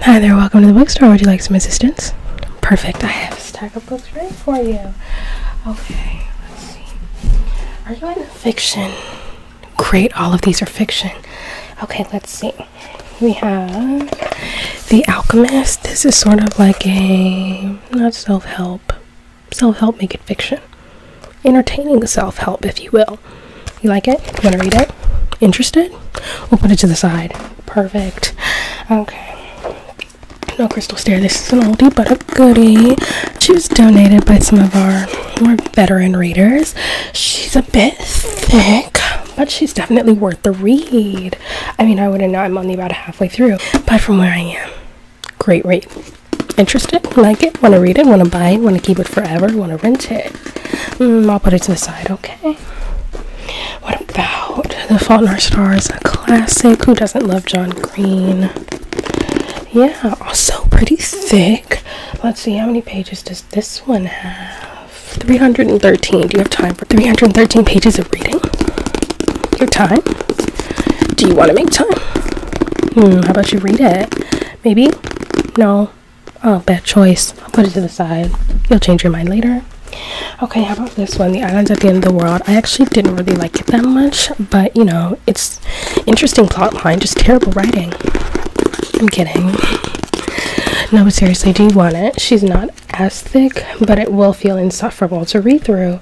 Hi there, welcome to the bookstore. Would you like some assistance? Perfect, I have a stack of books ready for you. Okay, let's see. Are you in fiction? Great, all of these are fiction. Okay, let's see. We have The Alchemist. This is sort of like a not self help, self help make it fiction. Entertaining self help, if you will. You like it? You want to read it? Interested? We'll put it to the side. Perfect. Okay. No crystal stare. This is an oldie but a goodie. She was donated by some of our more veteran readers. She's a bit thick, but she's definitely worth the read. I mean, I wouldn't know. I'm only about halfway through, but from where I am, great read. Interested? Like it? Want to read it? Want to buy it? Want to keep it forever? Want to rent it? Mm, I'll put it to the side, okay? What about The Fault in Our Stars? A classic. Who doesn't love John Green? Yeah, also pretty thick. Let's see, how many pages does this one have? 313. Do you have time for 313 pages of reading? Your time? Do you want to make time? Hmm, how about you read it? Maybe? No. Oh, bad choice. I'll put it to the side. You'll change your mind later. Okay, how about this one? The Islands at the End of the World. I actually didn't really like it that much, but you know, it's interesting plotline. just terrible writing. I'm kidding. No, but seriously, do you want it? She's not as thick, but it will feel insufferable to read through.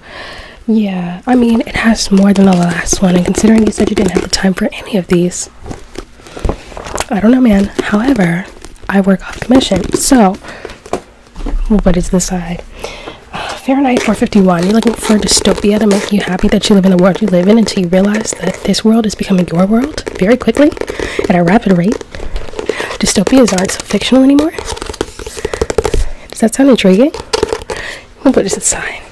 Yeah, I mean, it has more than the last one, and considering you said you didn't have the time for any of these, I don't know, man. However, I work off commission, so what is this side? Uh, Fahrenheit 451. You're looking for a dystopia to make you happy that you live in the world you live in until you realize that this world is becoming your world very quickly at a rapid rate. Dystopias aren't so fictional anymore. Does that sound intriguing? What is this sign?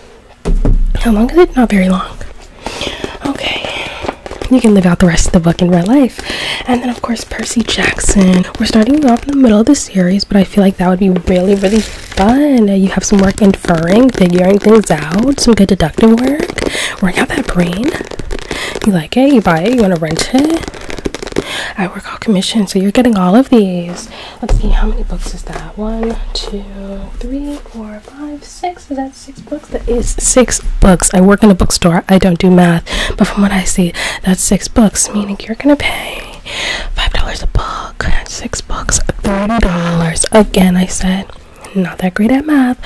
How long is it? Not very long. Okay. You can live out the rest of the book in real life. And then, of course, Percy Jackson. We're starting off in the middle of the series, but I feel like that would be really, really fun. Uh, you have some work inferring, figuring things out, some good deductive work, working out that brain. You like it, you buy it, you want to rent it. I work all commission, so you're getting all of these. Let's see, how many books is that? One, two, three, four, five, six. Is that six books. That is six books. I work in a bookstore. I don't do math, but from what I see, that's six books. Meaning you're gonna pay five dollars a book. Six bucks, thirty dollars. Again, I said not that great at math,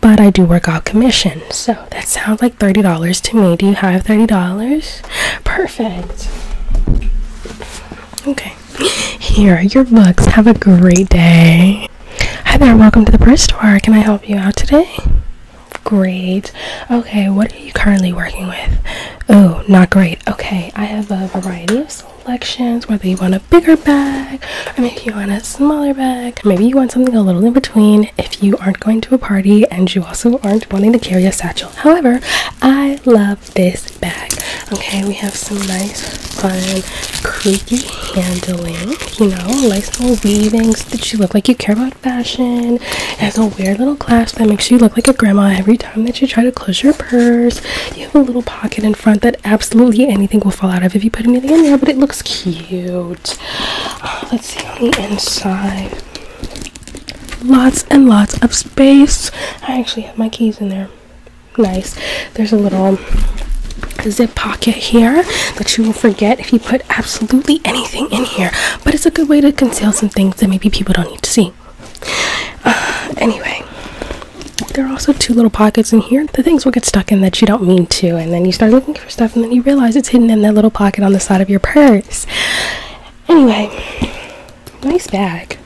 but I do work out commission. So that sounds like thirty dollars to me. Do you have thirty dollars? Perfect. Okay. Here are your books. Have a great day. Hi there. Welcome to the purse store. Can I help you out today? Great. Okay, what are you currently working with? Oh, not great. Okay, I have a variety of selections. Whether you want a bigger bag, or maybe you want a smaller bag, maybe you want something a little in between if you aren't going to a party and you also aren't wanting to carry a satchel. However, I love this bag. Okay, we have some nice fun, creaky handling, you know, likes little weavings that you look like you care about fashion. It has a weird little clasp that makes you look like a grandma every time that you try to close your purse. You have a little pocket in front that absolutely anything will fall out of if you put anything in there, but it looks cute. Oh, let's see on the inside. Lots and lots of space. I actually have my keys in there nice. There's a little zip pocket here that you will forget if you put absolutely anything in here, but it's a good way to conceal some things that maybe people don't need to see. Uh, anyway, there are also two little pockets in here. The things will get stuck in that you don't mean to, and then you start looking for stuff, and then you realize it's hidden in that little pocket on the side of your purse. Anyway, nice bag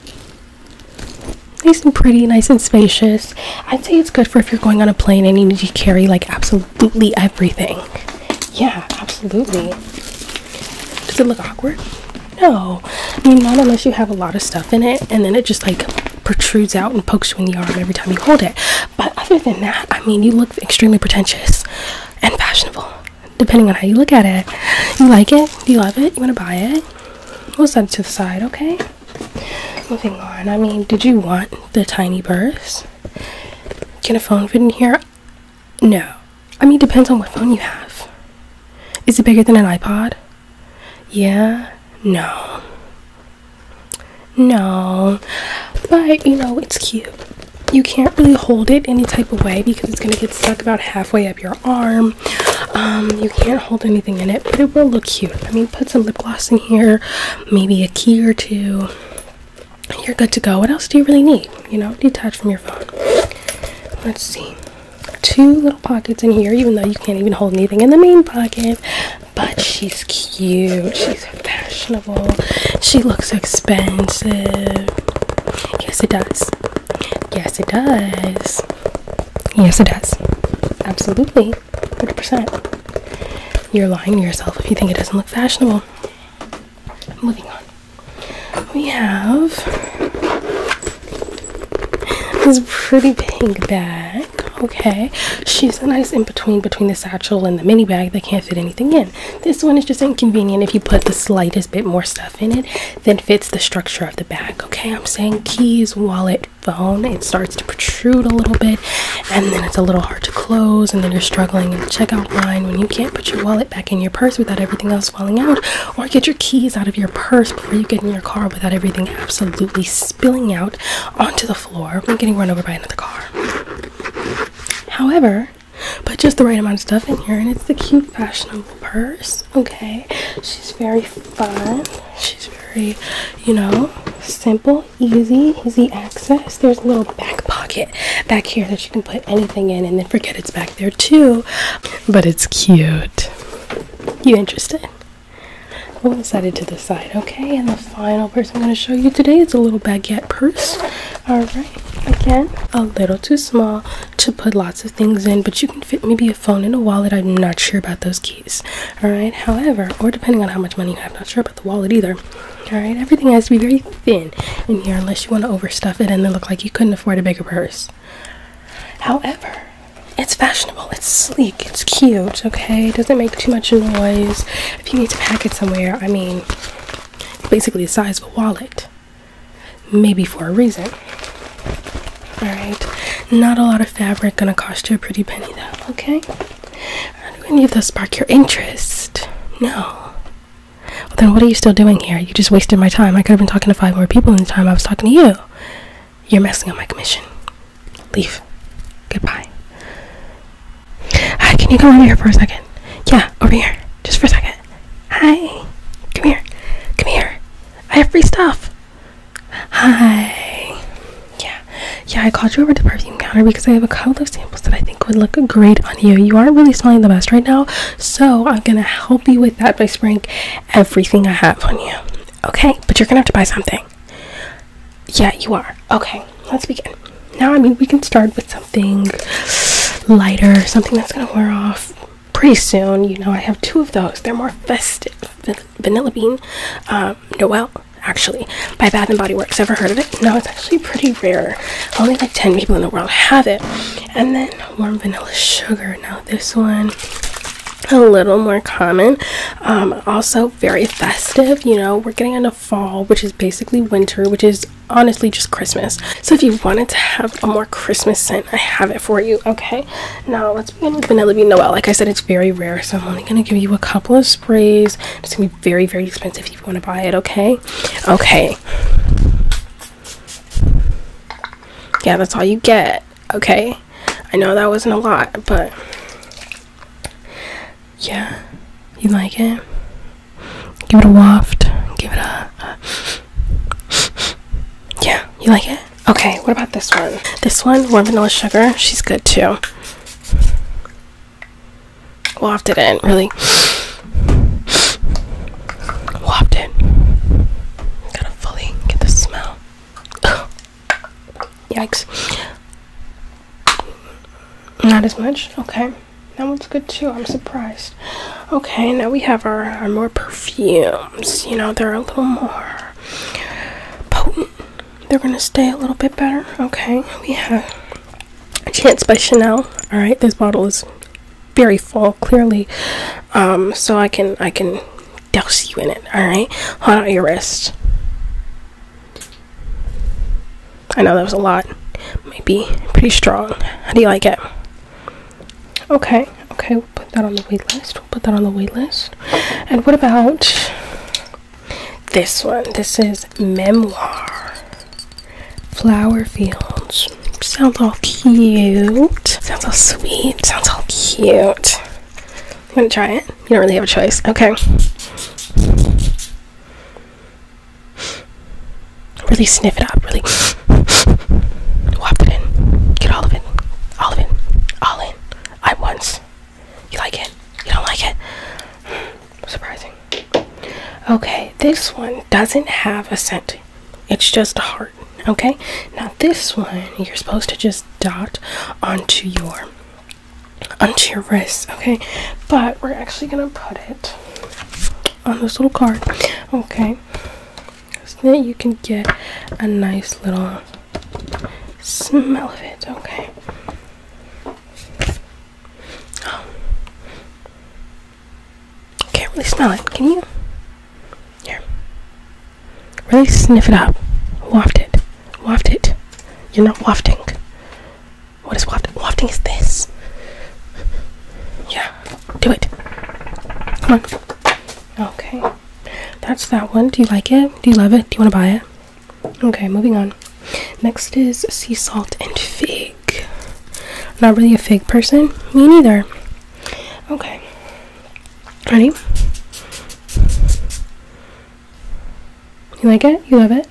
nice and pretty nice and spacious i'd say it's good for if you're going on a plane and you need to carry like absolutely everything yeah absolutely does it look awkward no i mean not unless you have a lot of stuff in it and then it just like protrudes out and pokes you in the arm every time you hold it but other than that i mean you look extremely pretentious and fashionable depending on how you look at it you like it you love it you want to buy it we'll set it to the side okay Moving on. I mean, did you want the tiny purse? Can a phone fit in here? No. I mean, depends on what phone you have. Is it bigger than an iPod? Yeah. No. No. But, you know, it's cute. You can't really hold it any type of way because it's going to get stuck about halfway up your arm. Um, you can't hold anything in it, but it will look cute. I mean, put some lip gloss in here, maybe a key or two. You're good to go. What else do you really need? You know, detach from your phone. Let's see. Two little pockets in here, even though you can't even hold anything in the main pocket. But she's cute. She's fashionable. She looks expensive. Yes, it does. Yes, it does. Yes, it does. Absolutely. 100%. You're lying to yourself if you think it doesn't look fashionable. Moving on. We have this pretty pink bag. Okay, she's a nice in between between the satchel and the mini bag that can't fit anything in. This one is just inconvenient if you put the slightest bit more stuff in it than fits the structure of the bag. Okay, I'm saying keys, wallet, phone it starts to protrude a little bit and then it's a little hard to close and then you're struggling in the checkout line when you can't put your wallet back in your purse without everything else falling out or get your keys out of your purse before you get in your car without everything absolutely spilling out onto the floor and getting run over by another car however but just the right amount of stuff in here and it's the cute fashionable purse okay she's very fun. She's very, you know, simple, easy, easy access. There's a little back pocket back here that you can put anything in and then forget it's back there too. But it's cute. You interested? One it to the side, okay? And the final purse I'm going to show you today is a little baguette purse. Alright, again, a little too small to put lots of things in, but you can fit maybe a phone and a wallet. I'm not sure about those all right. However, or depending on how much money you have, not sure about the wallet either. All right. Everything has to be very thin in here unless you want to overstuff it and then look like you couldn't afford a bigger purse. However, it's fashionable, it's sleek, it's cute, okay? doesn't make too much noise. If you need to pack it somewhere, I mean, basically the size of a wallet. Maybe for a reason. Alright, not a lot of fabric gonna cost you a pretty penny though, okay? Are any of those spark your interest? No. Well, then what are you still doing here? You just wasted my time. I could have been talking to five more people in the time I was talking to you. You're messing up my commission. Leave. Goodbye. Hi, can you come over here for a second? Yeah, over here. Just for a second. Hi. Come here. Come here. I have free stuff. Hi. Yeah. Yeah, I called you over to perfume counter because I have a couple of samples that I think would look great on you. You aren't really smelling the best right now, so I'm gonna help you with that by spraying everything I have on you. Okay, but you're gonna have to buy something. Yeah, you are. Okay, let's begin. Now, I mean, we can start with something lighter, something that's gonna wear off pretty soon. You know, I have two of those. They're more festive. Vanilla Bean, um, Noel, actually, by Bath and Body Works. Ever heard of it? No, it's actually pretty rare. Only like 10 people in the world have it. And then Warm Vanilla Sugar. Now, this one a little more common um, also very festive you know we're getting into fall which is basically winter which is honestly just christmas so if you wanted to have a more christmas scent i have it for you okay now let's begin with Vanilla Bean Noel. Like I said, it's very rare, so I'm only gonna give you a couple of sprays. It's gonna be very, very expensive if you want to buy it. Okay, okay. Yeah, that's all you get. Okay, I know that wasn't a lot, but yeah, you like it. Give it a waft. Give it a. a yeah, you like it? Okay, what about this one? This one, warm vanilla sugar, she's good too. Wafted it in, really. Wafted it. Gotta fully get the smell. Yikes. Not as much? Okay. That one's good too. I'm surprised. Okay, now we have our, our more perfume you know, they're a little more potent. They're gonna stay a little bit better. Okay, we have Chance by Chanel. All right, this bottle is very full, clearly. Um, so I can I can douse you in it. All right, hold out your wrist. I know that was a lot. Maybe pretty strong. How do you like it? Okay, okay, we'll put that on the wait list. We'll put that on the wait list. And what about this one? This is Memoir Flower Fields. Sounds all cute. Sounds all sweet. Sounds all cute. I'm gonna try it. You don't really have a choice. Okay. Really sniff it up. Really. Whop it in. Get all of it. All of it. All in. At once. You like it? You don't like it? Surprising. Okay, this one doesn't have a scent. It's just a heart. Okay? Now this one you're supposed to just dot onto your onto your wrist, okay? But we're actually gonna put it on this little card. Okay so that you can get a nice little smell of it, okay? Can't really smell it, can you? Here. Really sniff it up. Waft it. Waft it. You're not wafting. What is wafting? Wafting is this. Yeah. Do it. Come on. Okay that's that one. Do you like it? Do you love it? Do you want to buy it? Okay, moving on. Next is sea salt and fig. Not really a fig person. Me neither. Okay. Ready? You like it? You love it?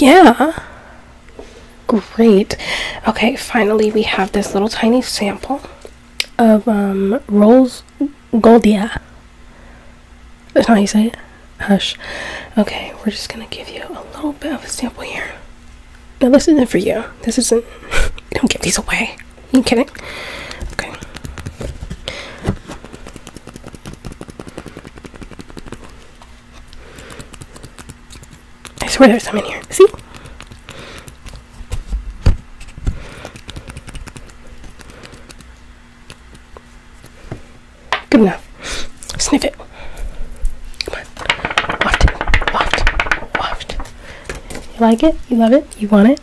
Yeah. Great. Okay, finally we have this little tiny sample of um, Rolls Goldia. That's how you say it? Hush. Okay, we're just gonna give you a little bit of a sample here. Now, this isn't for you. This isn't. don't give these away. you kidding? Okay. I swear there's some in here. See? Good enough. Sniff it. Come on. Waft Waft. Waft. You like it? You love it? You want it?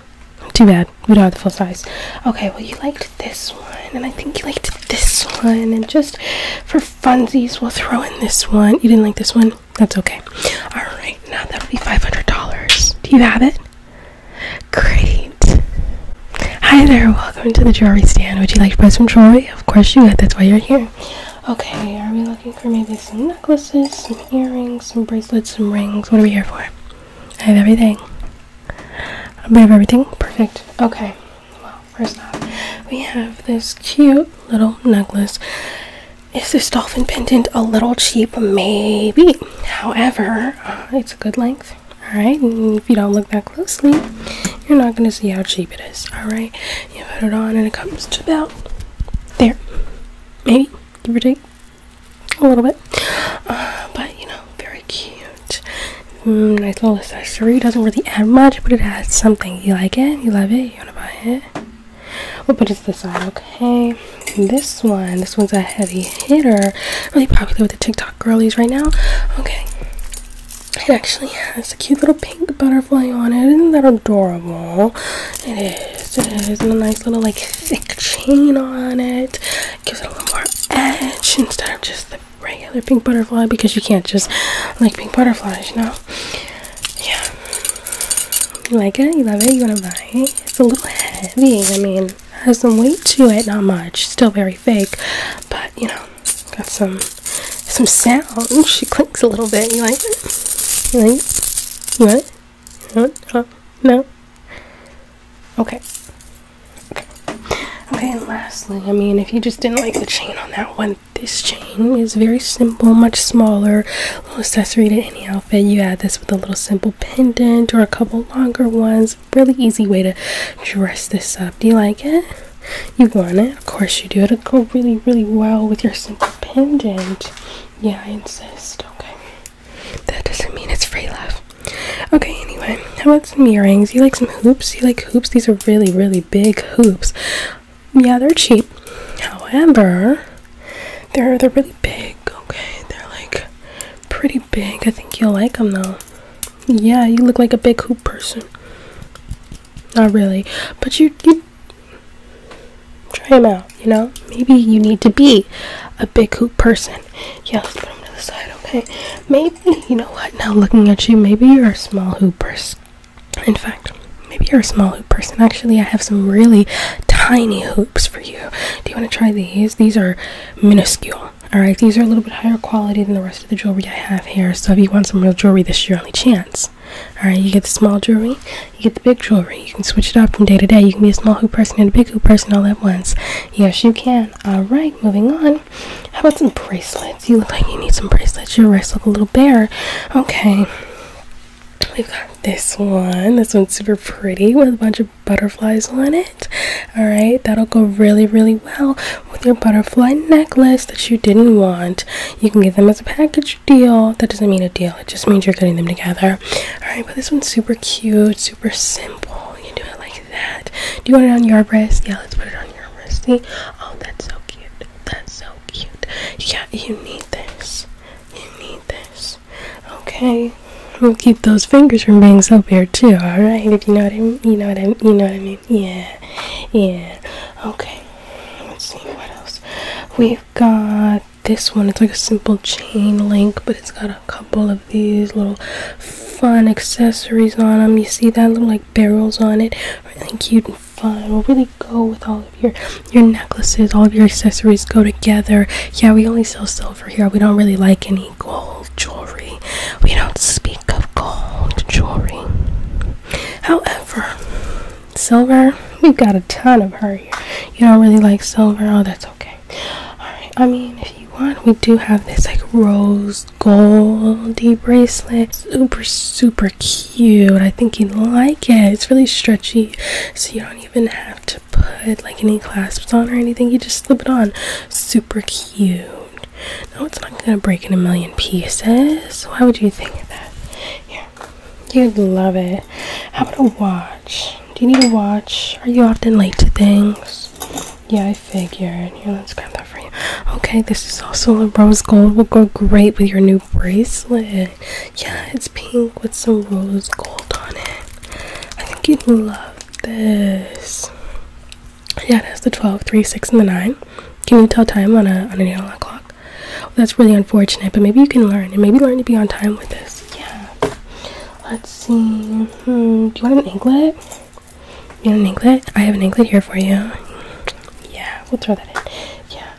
Too bad. We don't have the full size. Okay, well, you liked this one, and I think you liked this one, and just for funsies, we'll throw in this one. You didn't like this one? That's okay. Alright, now that would be $500. Do you have it? Great. Hi there, welcome to the jewelry stand. Would you like to buy some jewelry? Of course you would, that's why you're here. Okay, are we looking for maybe some necklaces, some earrings, some bracelets, some rings? What are we here for? I have everything. A bit everything? Perfect. Okay, well, first off, we have this cute little necklace. Is this dolphin pendant a little cheap? Maybe. However, uh, it's a good length. Alright, if you don't look that closely, you're not going to see how cheap it is. Alright, you put it on and it comes to about there. Maybe, give or a little bit. Uh, but, you know, very cute. Mm, nice little accessory. Doesn't really add much, but it has something. You like it, you love it, you want to buy it. We'll put it to the side, okay? this one, this one's a heavy hitter. Really popular with the TikTok girlies right now. Okay. It actually has a cute little pink butterfly on it. Isn't that adorable? It is. It is. And a nice little, like, thick chain on it. Gives it a little more edge instead of just the regular pink butterfly because you can't just like pink butterflies, you know? yeah. You like it? You love it? You want to buy it? It's a little heavy. I mean, it has some weight to it. Not much. Still very fake, but you know, got some some sound. Ooh, she clinks a little bit. You like it? You like What? You uh, No. Okay. Okay. Okay, and lastly, I mean, if you just didn't like the chain on that one this chain is very simple, much smaller, little accessory to any outfit. You add this with a little simple pendant or a couple longer ones. Really easy way to dress this up. Do you like it? You want it? Of course you do. It'll go really, really well with your simple pendant. Yeah, I insist. Okay. That doesn't mean it's free love. Okay, anyway, how about some earrings? You like some hoops? You like hoops? These are really, really big hoops yeah, they're cheap. However, they're they're really big. Okay, they're like pretty big. I think you'll like them though. Yeah, you look like a big hoop person. Not really, but you you try them out. You know, maybe you need to be a big hoop person. Yeah, let's put them to the side. Okay, maybe you know what? Now looking at you, maybe you're a small hoop person. In fact, maybe you're a small hoop person. Actually, I have some really tiny hoops for you. Do you want to try these? These are minuscule. Alright, these are a little bit higher quality than the rest of the jewelry I have here. So if you want some real jewelry, this is your only chance. Alright, you get the small jewelry, you get the big jewelry. You can switch it off from day to day. You can be a small hoop person and a big hoop person all at once. Yes, you can. Alright, moving on. How about some bracelets? You look like you need some bracelets. Your wrists look a little bare. Okay. We've got this one. This one's super pretty with a bunch of butterflies on it. Alright, that'll go really, really well with your butterfly necklace that you didn't want. You can get them as a package deal. That doesn't mean a deal, it just means you're getting them together. Alright, but this one's super cute, super simple. You do it like that. Do you want it on your wrist? Yeah, let's put it on your wrist. Oh, that's so cute. That's so cute. Yeah, you need this. You need this. Okay. We'll keep those fingers from being so bare too, alright? If you know what I mean you know what I mean you know what I mean. Yeah. Yeah. Okay. Let's see what else. We've got this one. It's like a simple chain link, but it's got a couple of these little fun accessories on them. You see that little like barrels on it, really cute fun. We'll really go with all of your your necklaces, all of your accessories go together. Yeah, we only sell silver here. We don't really like any gold jewelry. We don't speak of gold jewelry. However, silver, we've got a ton of her here. You don't really like silver? Oh, that's okay. Alright, I mean, if you want, we do have this like rose goldy bracelet. Super, super cute. I think you'd like it. It's really stretchy, so you don't even have to put like any clasps on or anything. You just slip it on. Super cute. No, it's not gonna break in a million pieces. Why would you think that? Yeah, you'd love it. How about a watch? Do you need a watch? Are you often late to things? Yeah, I figured. Here, let's grab that for you. Okay, this is also a rose gold. Will go great with your new bracelet. Yeah, it's pink with some rose gold on it. I think you'd love this. Yeah, that's the 12, 3, 6, and the 9. Can you tell time on a on an analog clock? Well, that's really unfortunate, but maybe you can learn and maybe learn to be on time with this. Yeah. Let's see. Hmm, do you want an anklet? You want an anklet? I have an anklet here for you. Yeah, we'll throw that in. Yeah.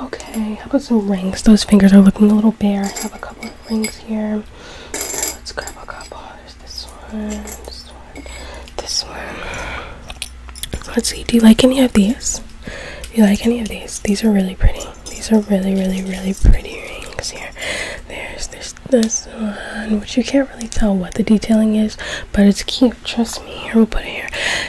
Okay, how about some rings? Those fingers are looking a little bare. I have a couple of rings here. Let's grab a couple. There's this one, this one, this one. Let's see. Do you like any of these? Do you like any of these? These are really pretty. These are really, really, really pretty rings here. There's, this this one, which you can't really tell what the detailing is, but it's cute Trust me, here we'll put it here.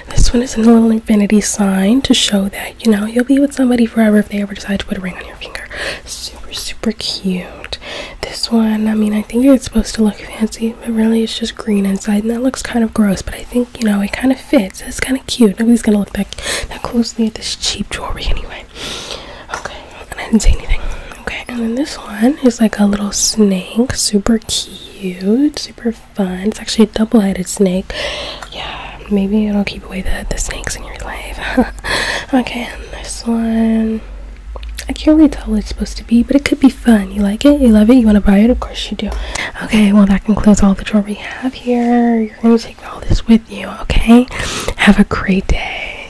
This one is a little infinity sign to show that you know you'll be with somebody forever if they ever decide to put a ring on your finger. Super, super cute. This one, I mean, I think it's supposed to look fancy, but really it's just green inside, and that looks kind of gross. But I think you know it kind of fits. It's kind of cute. Nobody's gonna look that that closely at this cheap jewelry anyway. Okay, and I didn't say anything. Okay, and then this one is like a little snake, super cute, super fun. It's actually a double-headed snake. Yeah, maybe it'll keep away the, the snakes in your life. okay, and this one. I can't really tell what it's supposed to be, but it could be fun. You like it? You love it? You want to buy it? Of course you do. Okay, well, that concludes all the draw we have here. You're going to take all this with you, okay? Have a great day.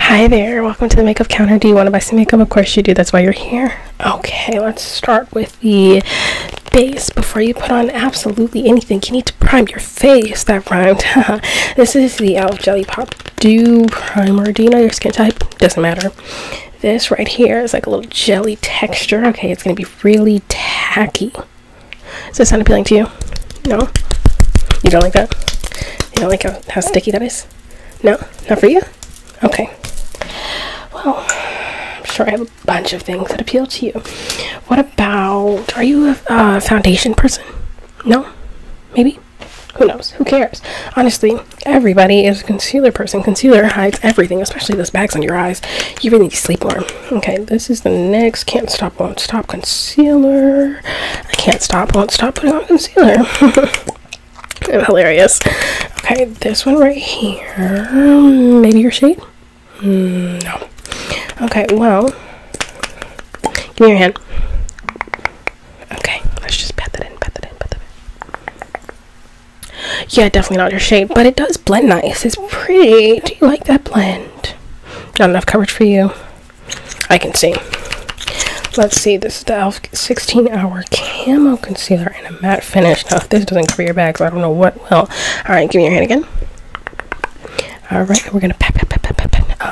Hi there. Welcome to the makeup counter. Do you want to buy some makeup? Of course you do. That's why you're here. Okay, let's start with the base before you put on absolutely anything. You need to prime your face. That rhymed. this is the Elf Jelly Pop Dew Primer. Do you know your skin type? Doesn't matter. This right here is like a little jelly texture. Okay, it's going to be really tacky. Does that sound appealing to you? No? You don't like that? You don't like how, how sticky that is? No? Not for you? Okay. Well, I'm sure I have a bunch of things that appeal to you. What about. Are you a foundation person? No? Maybe? Who knows? Who cares? Honestly, everybody is a concealer person. Concealer hides everything, especially those bags on your eyes. You really need to sleep more. Okay, this is the next Can't Stop Won't Stop concealer. I can't stop, won't stop putting on concealer. hilarious. Okay, this one right here. Maybe your shade? Mm, no. Okay, well, give me your hand. Okay, let's just pat that in, pat that in, pat that in. Yeah, definitely not your shade, but it does blend nice. It's pretty. Do you like that blend? Not enough coverage for you. I can see. Let's see, this is the ELF 16 hour or camo concealer in a matte finish. Now, oh, if this doesn't clear your bags, I don't know what will. All right, give me your hand again. All right, we're gonna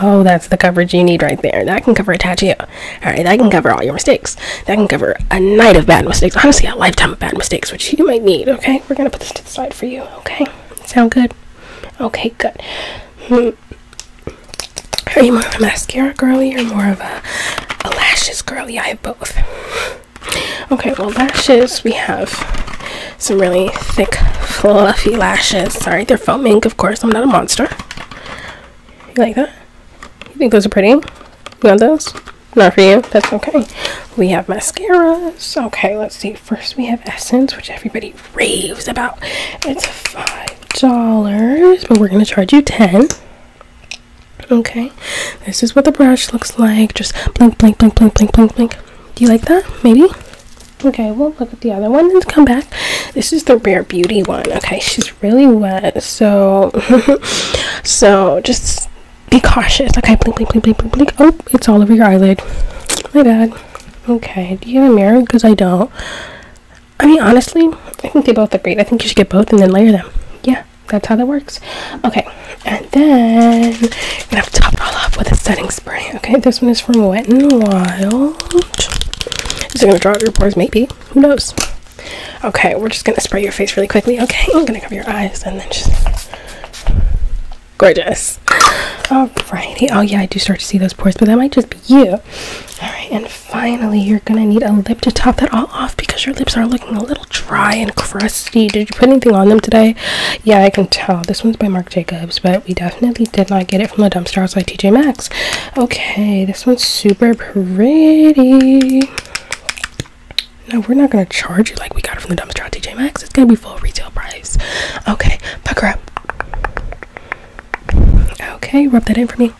Oh, that's the coverage you need right there. That can cover a tattoo. All right, that can cover all your mistakes. That can cover a night of bad mistakes. Honestly, a lifetime of bad mistakes, which you might need. Okay, we're gonna put this to the side for you. Okay, sound good? Okay, good. Hmm. Are you more of a mascara girlie or more of a, lashes girlie? I have both. Okay, well, lashes, we have some really thick, fluffy lashes. Sorry, they're foam ink, of course. I'm not a monster. You like that? You think those are pretty? You want those? Not for you? That's okay. We have mascaras. Okay, let's see. First, we have Essence, which everybody raves about. It's $5, but we're going to charge you 10 Okay, this is what the brush looks like. Just blink, blink, blink, blink, blink, blink, blink. Do you like that? Maybe? Okay, we'll look at the other one and come back. This is the Rare Beauty one. Okay, she's really wet, so so just be cautious. Okay, blink, blink, blink, blink, blink, blink. Oh, it's all over your eyelid. My bad. Okay, do you have a mirror? Because I don't. I mean, honestly, I think they both look great. I think you should get both and then layer them. Yeah, that's how that works. Okay, and then i gonna have to top it all off with a setting spray. Okay, this one is from Wet and Wild. Is it gonna draw out your pores? Maybe. Who knows? Okay, we're just gonna spray your face really quickly. Okay, I'm gonna cover your eyes and then just gorgeous. Alrighty. Oh yeah, I do start to see those pores, but that might just be you. Alright, and finally, you're gonna need a lip to top that all off because your lips are looking a little dry and crusty. Did you put anything on them today? Yeah, I can tell. This one's by Marc Jacobs, but we definitely did not get it from the dumpster outside TJ Maxx. Okay, this one's super pretty. No, we're not gonna charge you like we got it from the dumpster at TJ Maxx. It's gonna be full retail price. Okay, pucker up. Okay, rub that in for me.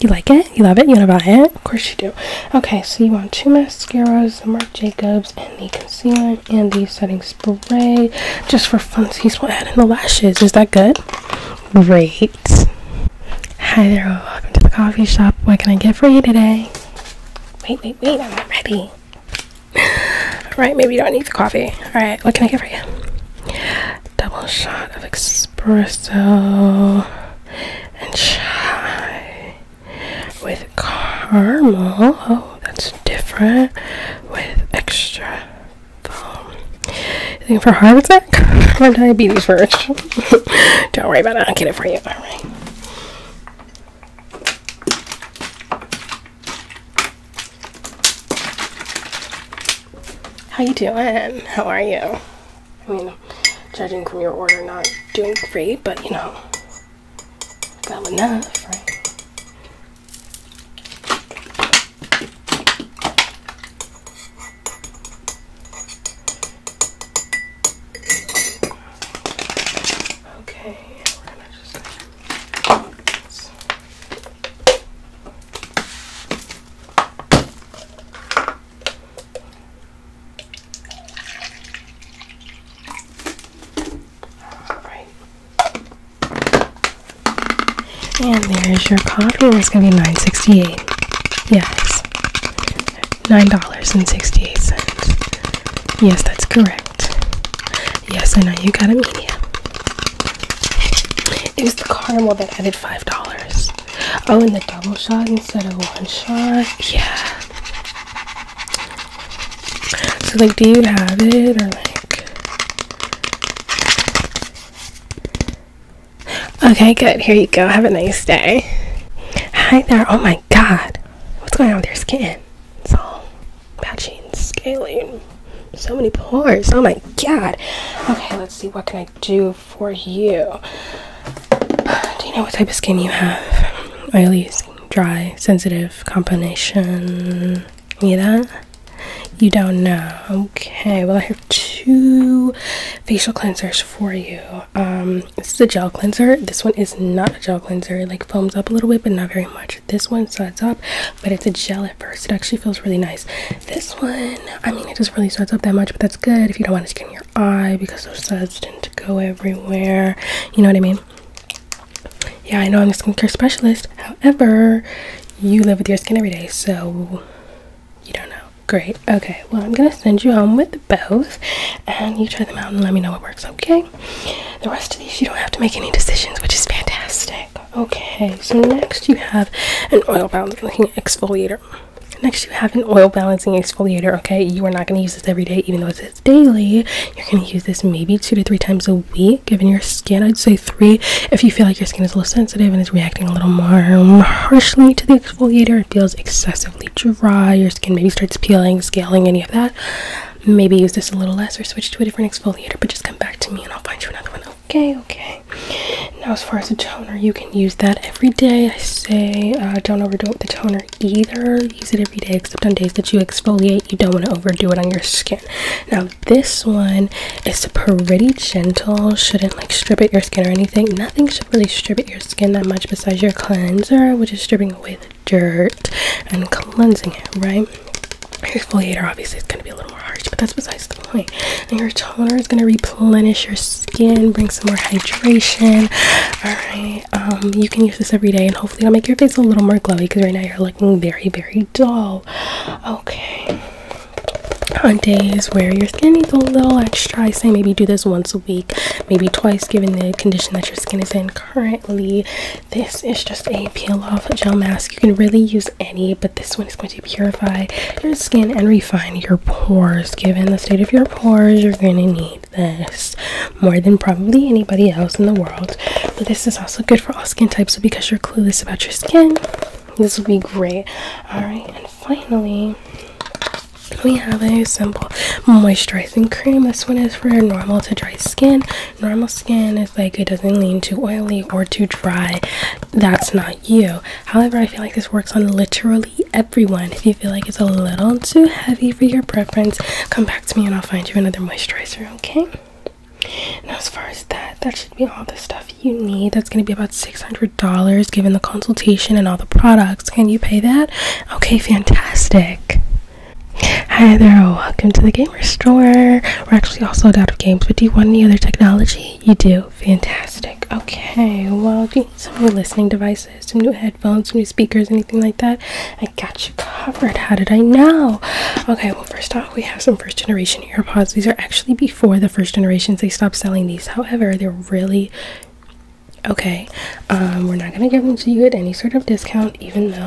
You like it? You love it? You want to buy it? Of course you do. Okay, so you want two mascaras, the Marc Jacobs, and the concealer, and the setting spray. Just for fun. we'll add in the lashes. Is that good? Great. Hi there, welcome to the coffee shop. What can I get for you today? Wait, wait, wait, I'm not ready. Right. maybe you don't need the coffee. Alright, what can I get for you? double shot of espresso and chai with caramel. Oh, that's different. With extra foam. You think for heart attack or diabetes first? Don't worry about it. I'll get it for you. All right. How you doing? How are you? I mean, judging from your order, not doing great, but you know, got enough, right? All right. And there is your coffee. It's gonna be nine sixty-eight. Yes, nine dollars and sixty-eight cents. Yes, that's correct. Yes, I know you got a media. It was the caramel that added five dollars. Oh, and the double shot instead of one shot. Yeah. So like, do you have it or like? Okay, good. Here you go. Have a nice day. Hi there. Oh my God, what's going on with your skin? It's all patchy and scaly so many pores! Oh my god. Okay, let's see. What can I do for you? Do you know what type of skin you have? Oily, dry, sensitive, combination. Any of that? You don't know. Okay, well, I have two facial cleansers for you. Um, this is a gel cleanser. This one is not a gel cleanser. It like foams up a little bit, but not very much. This one suds up, but it's a gel at first. It actually feels really nice. This one, I mean, it just really sets up that much, but that's good if you don't want to skin your eye because those suds tend to go everywhere. You know what I mean? Yeah, I know I'm a skincare specialist. However, you live with your skin every day, so you don't know. Great. Okay, well, I'm going to send you home with both, and you try them out and let me know what works, okay? The rest of these, you don't have to make any decisions, which is fantastic. Okay, so next you have an oil balancing exfoliator. Next, you have an oil balancing exfoliator. Okay, you are not going to use this every day, even though it says daily. You're going to use this maybe two to three times a week, given your skin. I'd say three if you feel like your skin is a little sensitive and is reacting a little more um, harshly to the exfoliator. It feels excessively dry. Your skin maybe starts peeling, scaling, any of that. Maybe use this a little less or switch to a different exfoliator, but just come back to me and I'll find you another one. Okay, okay. Now, as far as the toner, you can use that every day. I say uh, don't overdo it with the toner either. Use it every day, except on days that you exfoliate. You don't want to overdo it on your skin. Now, this one is pretty gentle. Shouldn't like strip it your skin or anything. Nothing should really strip it your skin that much besides your cleanser, which is stripping away the dirt and cleansing it, right? exfoliator obviously is going to be a little more harsh, but that's besides the point. your toner is going to replenish your skin, bring some more hydration. Alright, um, you can use this every day, and hopefully, it'll make your face a little more glowy because right now you're looking very, very dull. Okay. On days where your skin needs a little extra, I say maybe do this once a week, maybe twice, given the condition that your skin is in currently. This is just a peel off gel mask. You can really use any, but this one is going to to purify your skin and refine your pores. Given the state of your pores, you're going to need this more than probably anybody else in the world. But this is also good for all skin types. So because you're clueless about your skin, this will be great. All right, and finally. We have a simple moisturizing cream. This one is for normal to dry skin. Normal skin is like it doesn't lean too oily or too dry, that's not you. However, I feel like this works on literally everyone. If you feel like it's a little too heavy for your preference, come back to me and I'll find you another moisturizer, okay? Now, as far as that, that should be all the stuff you need. That's going to be about $600 given the consultation and all the products. Can you pay that? Okay, fantastic. Hi there, welcome to the Gamer Store. We're actually also a out of games, but do you want any other technology? You do. Fantastic. Okay. Well, do you need some new listening devices, some new headphones, new speakers, anything like that? I got you covered. How did I know? Okay. Well, first off, we have some first generation AirPods. These are actually before the first generations. They stopped selling these. However, they're really okay. Um, we're not going to give them to you at any sort of discount, even though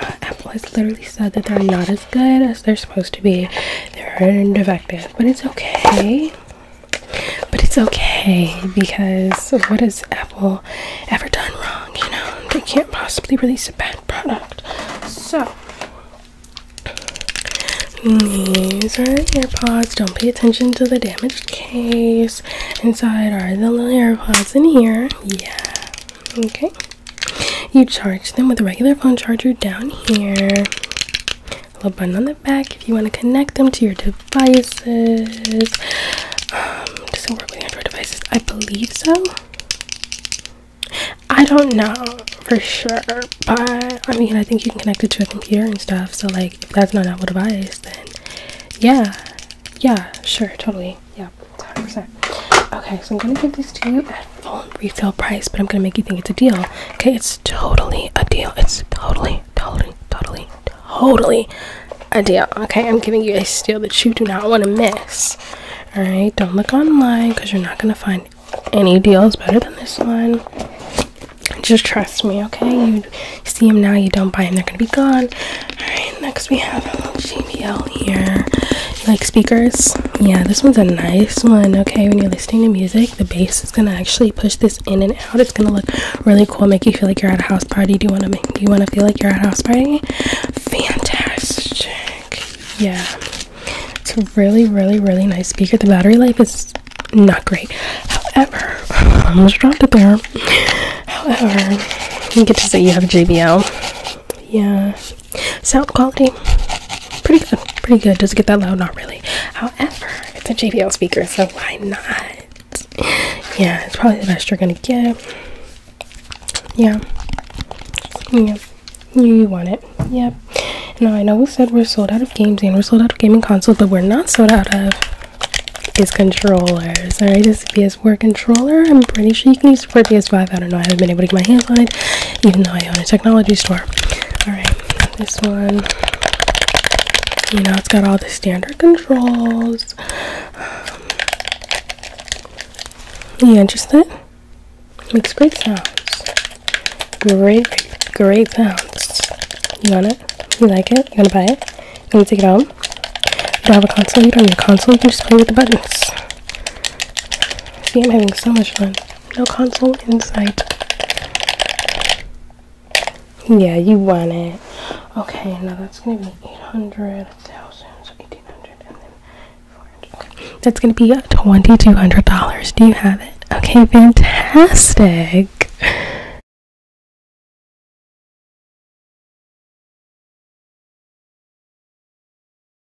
uh, Apple has literally said that they're not as good they're supposed to be. They're defective, but it's okay. But it's okay because what has Apple ever done wrong? You know, they can't possibly release a bad product. So, these are earpods. Don't pay attention to the damaged case. Inside are the little earpods. in here. Yeah. Okay. You charge them with a regular phone charger down here. A little button on the back if you want to connect them to your devices. Um, does it work with Android devices? I believe so. I don't know for sure, but I mean, I think you can connect it to a computer and stuff. So, like, if that's not an Apple device, then yeah, yeah, sure, totally, yeah, 100%. Okay, so I'm gonna give these to you at full retail price, but I'm gonna make you think it's a deal. Okay, it's totally a deal. It's totally, totally, totally, totally a deal. Okay, I'm giving you a steal that you do not want to miss. Alright, don't look online because you're not gonna find any deals better than this one. Just trust me, okay? You see them now, you don't buy them, they're gonna be gone. Alright, next we have a little here like speakers. Yeah, this one's a nice one. Okay, when you're listening to music, the bass is gonna actually push this in and out. It's gonna look really cool, make you feel like you're at a house party. Do you wanna make do you wanna feel like you're at a house party? Fantastic. Yeah. It's a really, really, really nice speaker. The battery life is not great. However, I almost dropped it there. However, you get to say you have JBL. Yeah, Sound quality, pretty good, pretty good. Does it get that loud? Not really. However, it's a JBL speaker, so why not? Yeah, it's probably the best you're gonna get. Yeah, yeah, you want it. Yep. Now I know we said we're sold out of games and we're sold out of gaming consoles, but we're not sold out of these controllers. Alright, this PS4 controller. I'm pretty sure you can use. For PS5. I don't know, I haven't been able to get my hands on it, even though I own a technology store. Alright, this one. You know, it's got all the standard controls. Um, yeah, just that. Makes great sounds. Great, great sounds. You want it? You like it? You going to buy it? You going to take it home? You do a console? You don't need a console. You can just play with the buttons. See, I'm having so much fun. No console inside. Yeah, you want it. Okay, now that's gonna be 800, 1000, so 1800, and then 400. Okay. That's gonna be $2,200. Do you have it? Okay, fantastic.